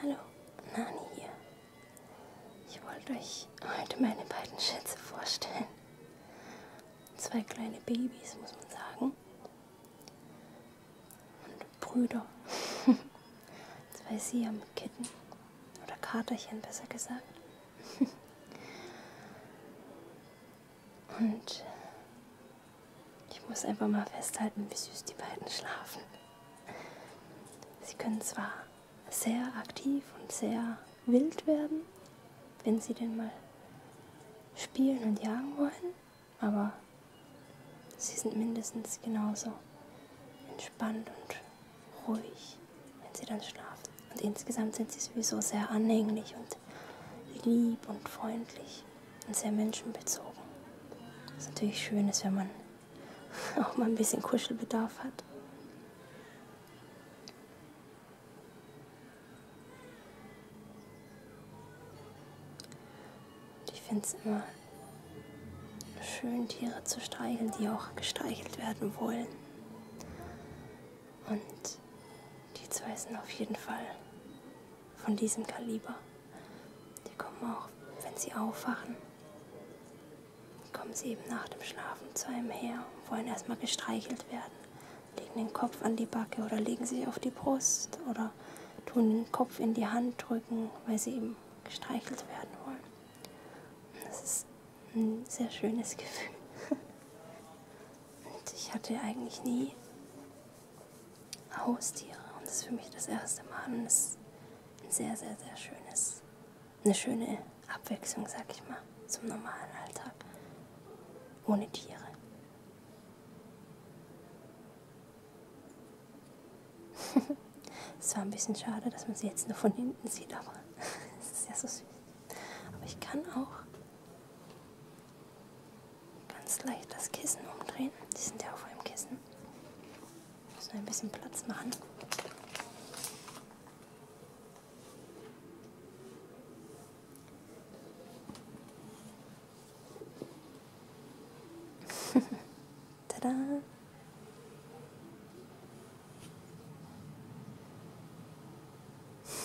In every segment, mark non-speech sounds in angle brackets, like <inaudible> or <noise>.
Hallo, Nani hier. Ich wollte euch heute meine beiden Schätze vorstellen. Zwei kleine Babys, muss man sagen. Und Brüder. <laughs> Zwei Siam-Kitten. Oder Katerchen, besser gesagt. <laughs> Und ich muss einfach mal festhalten, wie süß die beiden schlafen. Sie können zwar sehr aktiv und sehr wild werden, wenn sie denn mal spielen und jagen wollen, aber sie sind mindestens genauso entspannt und ruhig, wenn sie dann schlafen. Und insgesamt sind sie sowieso sehr anhänglich und lieb und freundlich und sehr menschenbezogen. Was natürlich schön ist, wenn man <laughs> auch mal ein bisschen Kuschelbedarf hat. Und ich finde es immer schön, Tiere zu streicheln, die auch gestreichelt werden wollen. Und die zwei sind auf jeden Fall von diesem Kaliber. Die kommen auch, wenn sie aufwachen, kommen sie eben nach dem Schlafen zu einem her und wollen erstmal gestreichelt werden. Legen den Kopf an die Backe oder legen sich auf die Brust oder tun den Kopf in die Hand drücken, weil sie eben gestreichelt werden wollen. Und das ist ein sehr schönes <laughs> Gefühl. Und ich hatte eigentlich nie Haustiere. Und das ist für mich das erste Mal. Und es ist ein sehr, sehr, sehr schönes, eine schöne Abwechslung, sag ich mal, zum normalen Alltag. Ohne Tiere. <laughs> Es war ein bisschen schade, dass man sie jetzt nur von hinten sieht, aber <laughs> es ist ja so süß. Aber ich kann auch ganz leicht das Kissen umdrehen. Die sind ja auf einem Kissen. Müssen ein bisschen Platz machen. <laughs> Tada!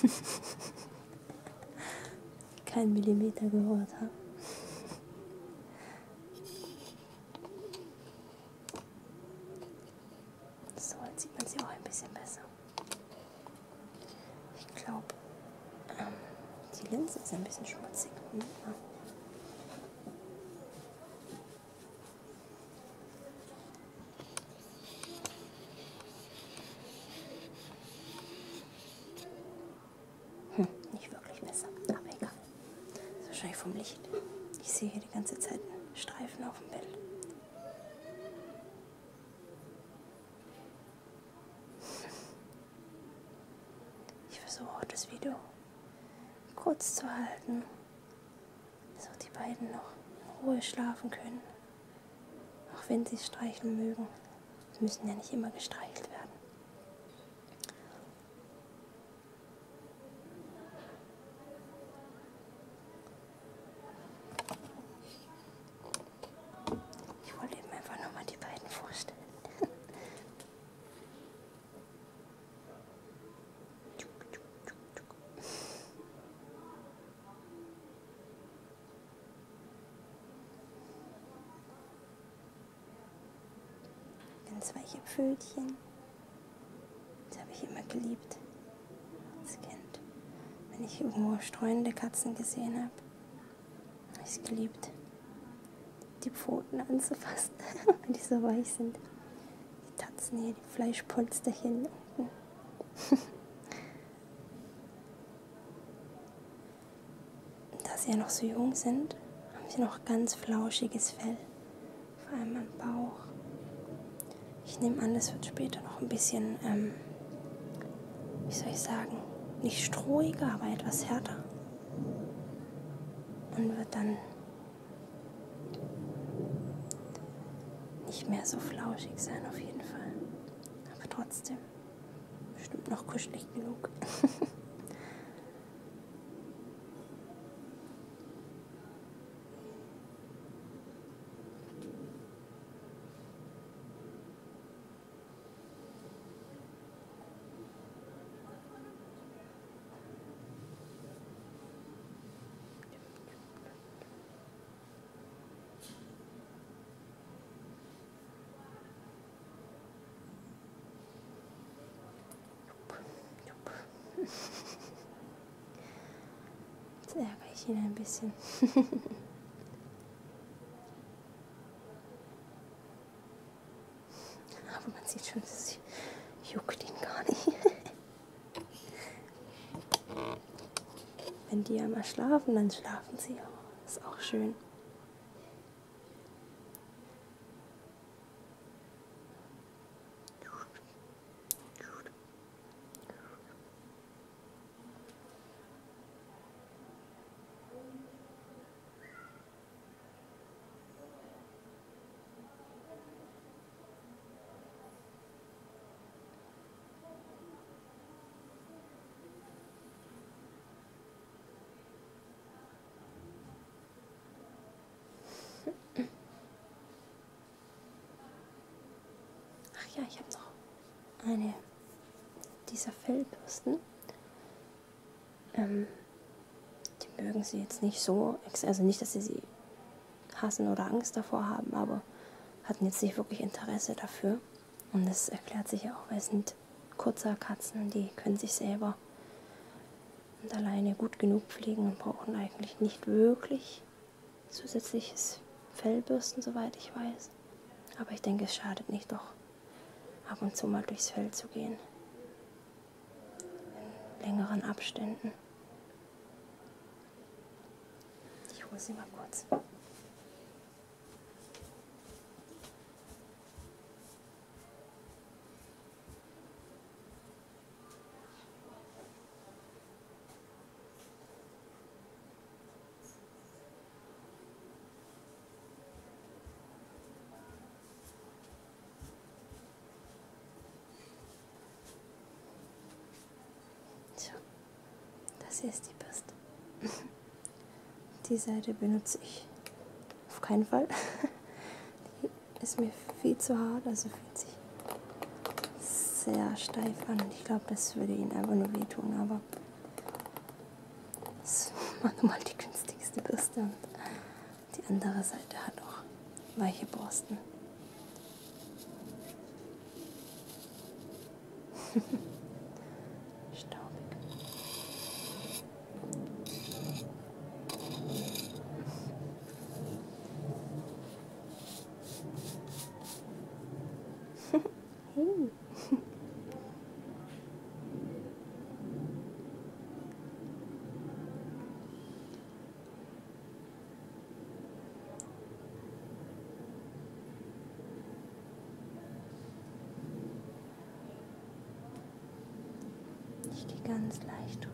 <laughs> Kein Millimeter gehört habe. So, jetzt sieht man sie auch ein bisschen besser. Ich glaube, ähm, die Linse ist ein bisschen schmutzig. Hm? Hm, nicht wirklich Messer, aber egal. Das ist wahrscheinlich vom Licht. Ich sehe hier die ganze Zeit Streifen auf dem Bild. Ich versuche auch das Video kurz zu halten so die beiden noch in Ruhe schlafen können. Auch wenn sie streicheln mögen, sie müssen ja nicht immer gestreichelt werden. Ich wollte eben einfach nochmal die beiden vorstellen. <laughs> Ganz weiche Pfötchen. Das habe ich immer geliebt als Kind. Wenn ich irgendwo streunende Katzen gesehen habe, habe ich es geliebt, die Pfoten anzufassen, <laughs> weil die so weich sind. Die tanzen hier die Fleischpolsterchen unten. <laughs> da sie ja noch so jung sind, haben sie noch ganz flauschiges Fell, vor allem am Bauch. Ich nehme an, das wird später noch ein bisschen, ähm, wie soll ich sagen, nicht strohiger, aber etwas härter. Und wird dann nicht mehr so flauschig sein auf jeden Fall. Aber trotzdem bestimmt noch kuschelig genug. <laughs> Jetzt ärgere ich ihn ein bisschen. <laughs> Aber man sieht schon, das juckt ihn gar nicht. Wenn die einmal schlafen, dann schlafen sie auch. Ist auch schön. Ach ja, ich habe noch eine dieser Fellbürsten. Ähm, die mögen sie jetzt nicht so, also nicht, dass sie sie hassen oder Angst davor haben, aber hatten jetzt nicht wirklich Interesse dafür. Und das erklärt sich ja auch, weil es sind kurzer Katzen, die können sich selber und alleine gut genug pflegen und brauchen eigentlich nicht wirklich zusätzliches Fellbürsten, soweit ich weiß. Aber ich denke, es schadet nicht doch ab und zu mal durchs Feld zu gehen. In längeren Abständen. Ich hole sie mal kurz. So, das hier ist die Bürste. Die Seite benutze ich auf keinen Fall. Die ist mir viel zu hart, also fühlt sich sehr steif an. Und ich glaube, das würde ihn einfach nur wehtun, aber das <laughs> ist manchmal die günstigste Bürste und die andere Seite hat auch weiche Borsten. <laughs> Staubig. <laughs> Hey. Ich gehe ganz leicht drüber.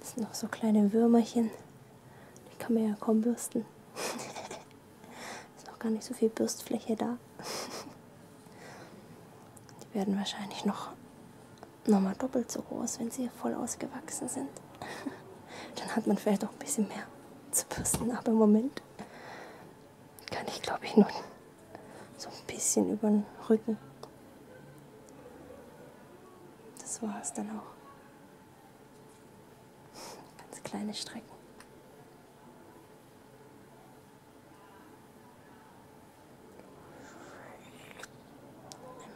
Das sind noch so kleine Würmerchen. Die kann man ja kaum bürsten. <laughs> ist noch gar nicht so viel Bürstfläche da. Die werden wahrscheinlich noch, noch mal doppelt so groß, wenn sie voll ausgewachsen sind. <laughs> Dann hat man vielleicht auch ein bisschen mehr zu bürsten, aber im Moment kann ich glaube ich noch so ein bisschen über den Rücken. Das war es dann auch. Ganz kleine Strecken.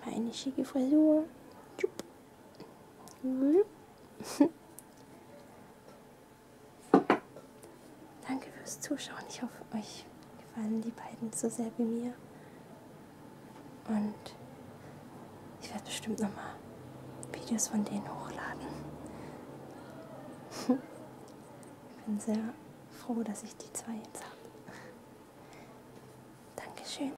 Einmal eine schicke Frisur. Jupp. Mhm. <laughs> Danke fürs Zuschauen. Ich hoffe, euch gefallen die beiden so sehr wie mir. Und ich werde bestimmt nochmal Videos von denen hochladen. <laughs> ich bin sehr froh, dass ich die zwei jetzt habe. Dankeschön.